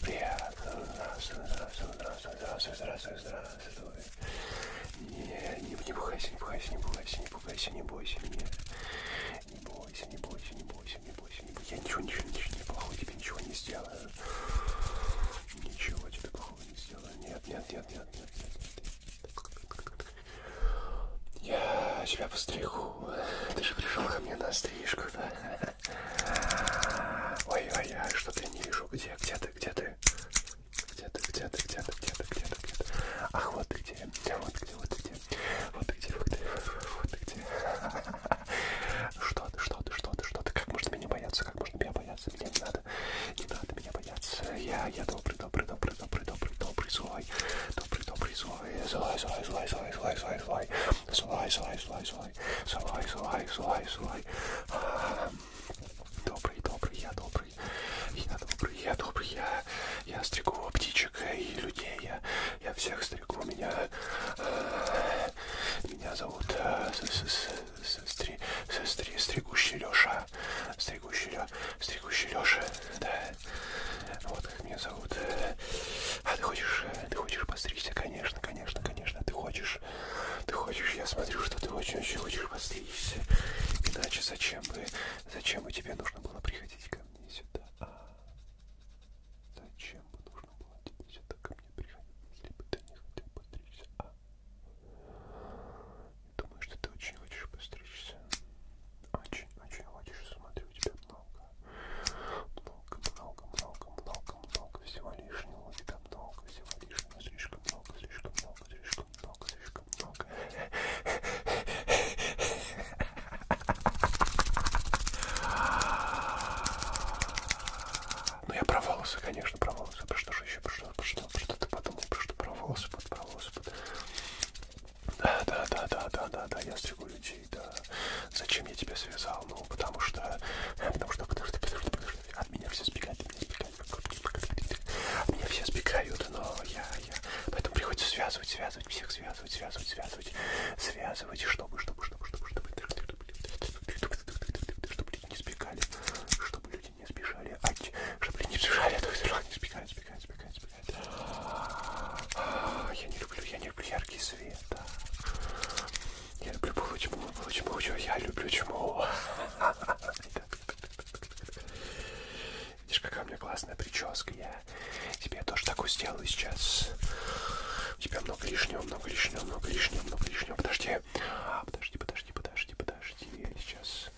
Приятно. Здравствуй, здравствуй, здравствуй, здравствуй, здравствуй, здравствуй. Не, не, не пугайся, не пугайся, не пугайся, не пугайся, не бойся меня. Не бойся, не бойся, не бойся, не бойся, не бойся. Я ничего, ничего, ничего, не плохого тебе ничего не сделаю. Ничего тебе плохого не сделаю. Нет, нет, нет, нет, нет, нет. нет. Я тебя постригу. Ты же пришел ко мне на стрижку, да? Ой-ой, я что-то не вижу. Где, где ты, где ты? Где ты, где ты, где ты, где ты, где ты, где ты? Ах, вот ты где, вот где, вот где, вот ты где, вот ты, вот ты где. Что ты, что ты, что ты, что ты? Как можно меня бояться? Как можно меня бояться? Мне не надо, не надо меня бояться. Я, я добрый, добрый, добрый, добрый, добрый, добрый злой, добрый, добрый, злой, злой, злой, злой, злой, злой, злой, злой, злой, злой, злой, злой, злой, злой, злой, злой. Добрый, добрый, я добрый, я добрый, я добрый, я, я стригу птичек и людей, я, я всех стригу, меня, меня зовут стригущий Леша, стригущий Леша, стригущий Леша, да. Вот как меня зовут. А ты хочешь, ты хочешь постричься? Конечно, конечно, конечно. Ты хочешь, ты хочешь. Я смотрю, что ты очень-очень хочешь постричься. Иначе зачем бы, зачем бы тебе нужно было приходить ко мне сюда? А зачем бы нужно было тебе сюда ко мне приходить, если бы ты не хотел постричься? А думаю, что ты очень хочешь постричься. Очень, очень хочешь. Смотрю, у тебя много много, много, много, много, много всего лишнего. У тебя много всего лишнего. Слишком много, слишком много, слишком много, слишком много. Ну я про волосы, конечно, про волосы. Про что же еще? Про что, про что, про что ты подумал? Про что про волосы, под, про волосы, под. Да, да, да, да, да, да, да, я стригу людей, да. Зачем я тебя связал? Ну, потому что, потому что, подожди, подожди, подожди, от меня все сбегают, от меня сбегают, от меня все сбегают, но я, я, поэтому приходится связывать, связывать, всех связывать, связывать, связывать, связывать, чтобы, чтобы, чтобы, чтобы, чтобы, чтобы люди не сбегали, чтобы люди не сбежали, а, чтобы люди не сбежали, а то не сбегают, сбегают, сбегают, блядь. А, я не люблю, я не люблю яркий свет. Я люблю получму, получму, я люблю чему. Видишь, какая у меня классная прическа. Я тебе тоже такую сделаю сейчас. У тебя много лишнего, много лишнего, много лишнего, много лишнего. Подожди. А, подожди, подожди, подожди, подожди. Сейчас.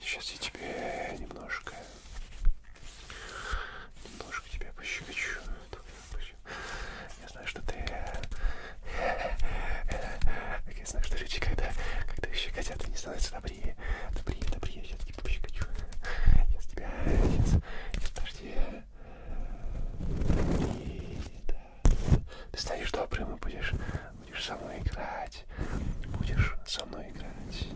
Сейчас я тебе немножко Немножко тебя пощекочу. Я знаю, что ты... Я знаю, что люди, когда, когда еще хотят, они становятся добрее. Добрее, добрее. Я тебя пощекочу. Я с тебя... Сейчас... Подожди. И, да. Ты станешь добрым и будешь, будешь со мной играть. Будешь со мной играть.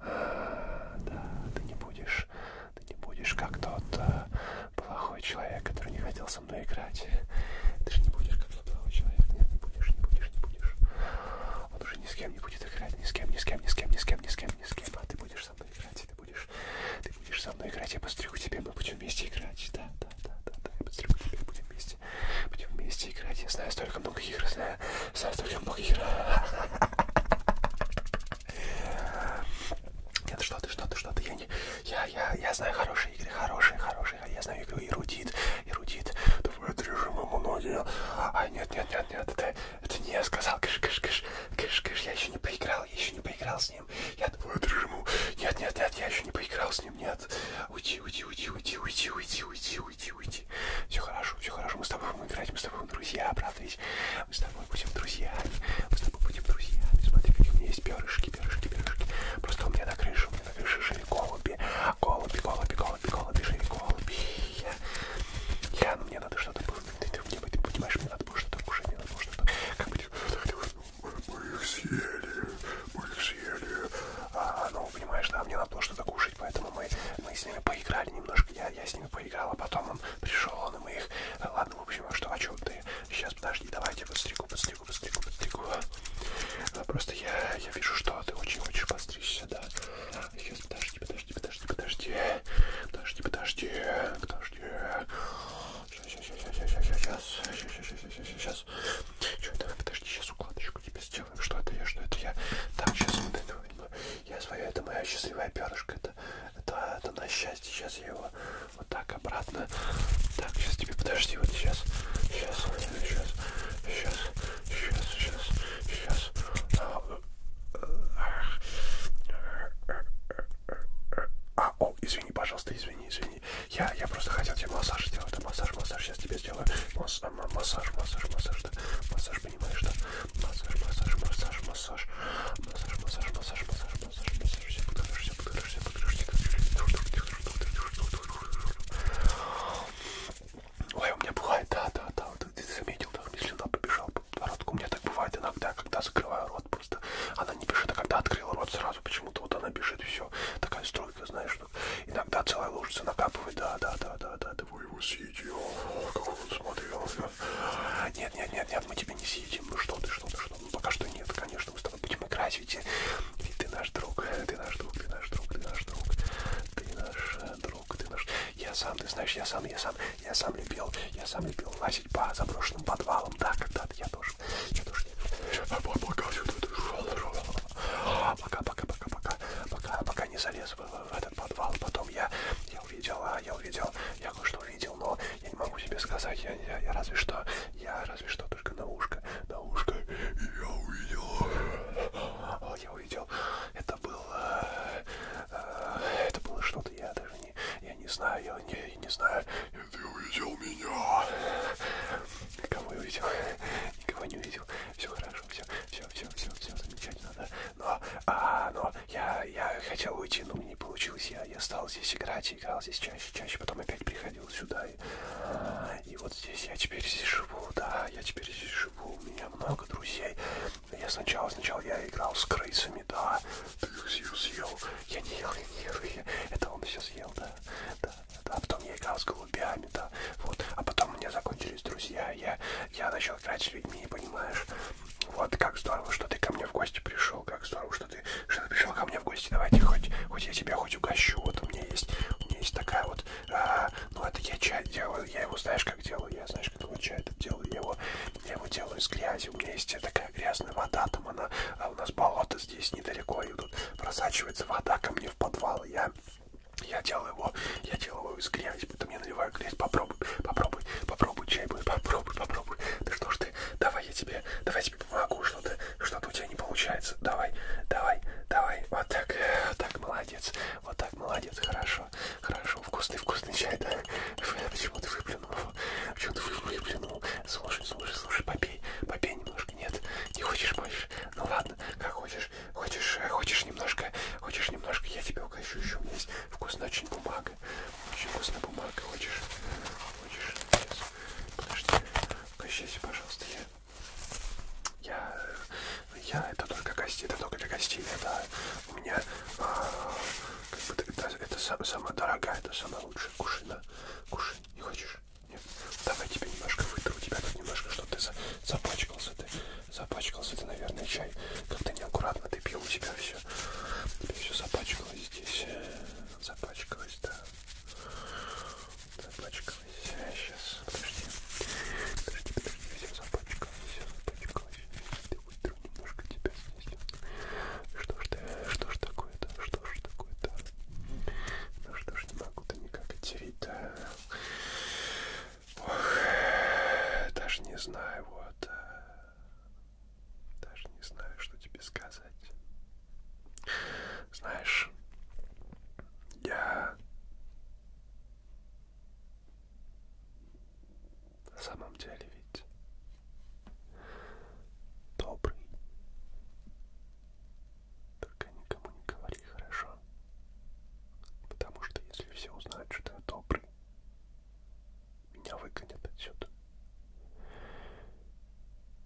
Да, ты не будешь, ты не будешь как тот а, плохой человек, который не хотел со мной играть. Ты же не будешь как тот плохой человек. Нет, не будешь, не будешь, не будешь. Он уже ни с кем не будет играть, ни с кем, ни с кем, ни с кем, ни с кем, ни с кем, ни с кем. А ты будешь со мной играть, ты будешь, ты будешь со мной играть, я постригу тебе, мы будем вместе играть. Да, да, да, да, да, я постригу тебе, будем вместе, будем вместе играть. Я знаю столько много игр, знаю. Завтракаем блогера. Нет, что ты, что ты, что ты, я не... Я, я, я знаю хорошие игры, хорошие, хорошие. Я знаю игру Эрудит, Эрудит. Бывают режимы многие. А нет, нет, нет, нет, это, это не я сказал. Кыш, кыш, кыш, кыш, кыш. Я еще не поиграл, я еще не поиграл с ним. Я бывают режиму. Нет, нет, нет, я еще не поиграл с ним, нет. Уйти, уйти, уйти, уйти, уйти, уйти, уйти, уйти, уйти. Все хорошо, все хорошо. Мы с тобой будем играть, мы с тобой будем друзья, правда ведь? Мы с тобой будем друзьями, мы с тобой будем друзьями. Смотри, какие у меня есть перышки, перышки, перышки. Просто у меня на крыше, у меня на крыше жили голуби. Голуби, голуби, голуби, голуби, жили голуби. Я, я ну мне надо что-то было. Ты, ты, ты, ты понимаешь, мне надо было что-то кушать, мне надо было что-то... Как бы... Мы, мы их съели, мы их съели. А, ну, понимаешь, да, мне надо было что-то кушать слушать, поэтому мы, мы с ними поиграли немножко, я, я с ними поиграл, а потом он пришел, он и мы их... Ладно, в общем, а что, а что ты? Сейчас, подожди, давайте подстригу, подстригу, подстригу, подстригу. Просто я, я вижу, что ты очень хочешь подстричься, да. Сейчас, подожди, подожди, подожди, подожди. Подожди, подожди, подожди. Сейчас, сейчас, сейчас, сейчас, сейчас, сейчас, сейчас, сейчас, сейчас. Что, давай, подожди, сейчас укладочку тебе сделаем. Что это я, что это я? Так, сейчас вот это я свое, это моя счастливая перышко. Это, это, это на счастье. Сейчас я его вот так обратно. Так, сейчас тебе подожди, вот сейчас. Сейчас, сейчас, сейчас, сейчас, сейчас, сейчас. А, о, извини, пожалуйста, извини, извини. Я, я просто хотел тебе массаж сделать. Массаж, массаж, сейчас тебе сделаю. Масс, массаж, массаж, массаж, да. массаж понимаешь, да? Массаж, массаж, массаж, массаж, массаж, массаж, массаж, массаж, массаж, массаж, все подгорешь, все подгорешь, все подгорешь, Ой, у меня бывает, да, да, да, вот ты заметил, да, мне слюна побежала по подбородку. У меня так бывает иногда, когда закрываю рот просто. Она не бежит, а когда открыла рот сразу, почему-то вот она бежит, и все. Такая стройка, знаешь, иногда целая лужица накапывает, да, да, да, да, да, да тобой его съедим. О, как он смотрелся. Нет, нет, нет, нет, мы тебя не съедим. Ну что ты, что ты, что ты? Ну пока что нет, конечно, мы с тобой будем играть, ведь, ведь ты наш друг, ты наш друг, ты наш друг, ты наш друг. Ты наш э, друг, ты наш... Я сам, ты знаешь, я сам, я сам, я сам любил, я сам любил лазить по заброшенным подвалам. Да, когда-то я тоже, я тоже не а Пока, пока, пока, пока, пока не залез в в этот подвал. Потом я, я увидел, а я увидел, я кое-что увидел, но я не могу себе сказать, я, я, я разве что, я разве что только на ушко, на ушко я увидел, а, я увидел, это было, э, это было что-то, я даже не, я не знаю, я не, не знаю, ты увидел меня, кого я увидел, никого не увидел, все хорошо хорошо, все, все, все, все, все замечательно, да. Но, а, но я, я хотел уйти, но не получилось. Я, я стал здесь играть, играл здесь чаще, чаще, потом опять приходил сюда. И, а, и вот здесь я теперь здесь живу, да, я теперь здесь живу, у меня много друзей. Я сначала, сначала я играл с крысами, да. Ты их съел, съел. Я не ел, я не ел, я... это он все съел, да, да, да. Потом я играл с голубями, да, вот. А потом у меня закончились друзья, я, я начал играть с людьми, понимаешь? Вот как здорово, что ты ко мне в гости пришел, как здорово, что ты, что ты пришел ко мне в гости. Давайте хоть, хоть я тебя хоть угощу. Вот у меня есть, у меня есть такая вот, а, ну это я чай делаю, я его знаешь как делаю, я знаешь как его чай это делаю, я его, я его делаю из грязи. У меня есть такая грязная вода, там она, а у нас болото здесь недалеко, и тут просачивается вода ко мне в подвал, я я делаю его, я делаю его из грязи, потом я наливаю грязь. Попробуй, попробуй, попробуй чай будет, попробуй, попробуй. Да что ж ты, давай я тебе, давай я тебе помогу, что-то, что-то у тебя не получается. Давай, давай, давай. Вот так, вот так, молодец, вот так, молодец, хорошо, хорошо. Вкусный, вкусный чай, да? Почему ты выплюнул его? Почему ты выплюнул? Слушай, слушай, слушай, попей, попей немножко. Нет, не хочешь больше? Ну ладно, как хочешь хочешь, хочешь, хочешь немножко, хочешь немножко, я тебя угощу еще. У меня есть вкусная очень бумага. Очень вкусная бумага. Хочешь? Хочешь? Сейчас. Подожди. Угощайся, пожалуйста. Я... Я... Я... Это только гостей. Это только для гостей. Это у меня... А, как бы, это, это сам, самая дорогая, это самая лучшая. Кушай, на. Кушай. Не хочешь? Нет. Давай тебе немножко вытру. У тебя тут немножко что-то запачкался. Ты Запачкался ты, наверное, чай. Как-то неаккуратно ты пил, у тебя все. Тебе все запачкалось здесь. Запачкалось, да. Запачкалось. Сейчас, подожди. Подожди, подожди, все запачкалось, все запачкалось. Ты утру немножко тебя снизил. Что ж ты, что ж такое-то, что ж такое-то? Ну что ж, не могу-то никак оттереть, да? Ох, даже не знаю, вот. Э, даже не знаю, что тебе сказать. Знаешь, я на самом деле ведь добрый. Только никому не говори, хорошо? Потому что если все узнают, что я добрый, меня выгонят отсюда.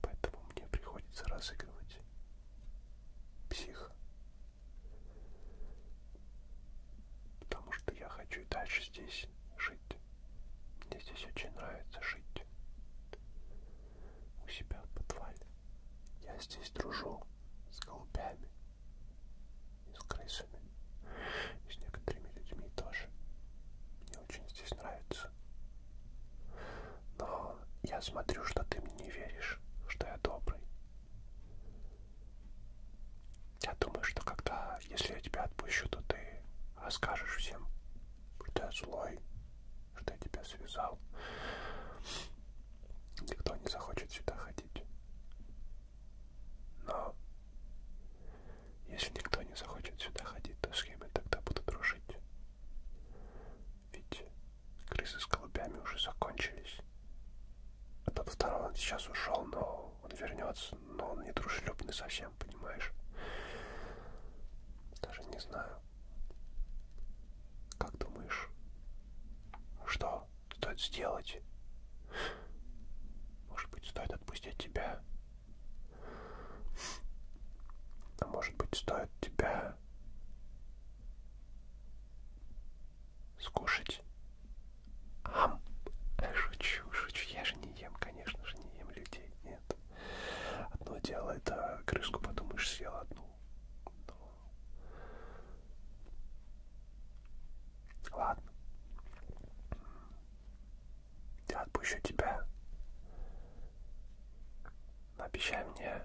Поэтому мне приходится разыгрывать психа. Потому что я хочу и дальше здесь жить. Мне здесь очень нравится жить. У себя в подвале. Я здесь дружу с голубями, и с крысами, и с некоторыми людьми тоже. Мне очень здесь нравится. Но я смотрю, что ты мне не веришь, что я добрый. Я думаю, что когда, если я тебя отпущу, то ты расскажешь всем, что я злой, что я тебя связал. Никто не захочет сюда ходить платить. Но если никто не захочет сюда ходить, то схемы тогда будут рушить. Ведь крысы с голубями уже закончились. А тот второй он сейчас ушел, но он вернется, но он не дружелюбный совсем, понимаешь? Даже не знаю. Как думаешь? Что? стоит сделать. Может быть, стоит отпустить тебя. А может быть, стоит тебя скушать. Ам! Шучу, шучу. Я же не ем, конечно же, не ем людей. Нет. Одно дело, это крыску подумаешь, съел одну. Но Ладно. Я отпущу тебя. Обещай мне,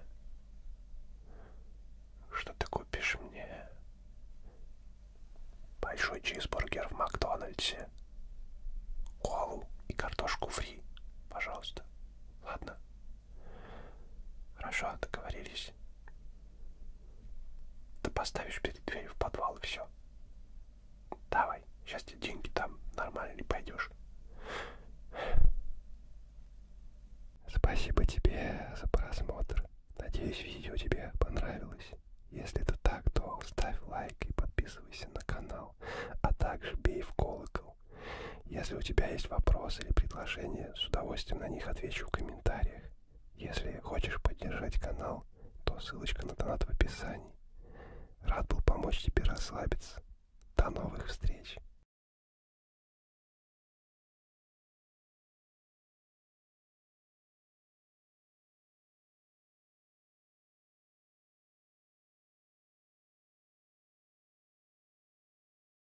что ты купишь мне большой чизбургер в Макдональдсе, колу и картошку фри, пожалуйста. Ладно? Хорошо, договорились. Ты поставишь перед дверью в подвал и все. Давай, сейчас тебе деньги там нормально не пойдешь. Спасибо тебе за просмотр. Надеюсь, видео тебе понравилось. Если это так, то ставь лайк и подписывайся на канал, а также бей в колокол. Если у тебя есть вопросы или предложения, с удовольствием на них отвечу в комментариях. Если хочешь поддержать канал, то ссылочка на донат в описании. Рад был помочь тебе расслабиться. До новых встреч!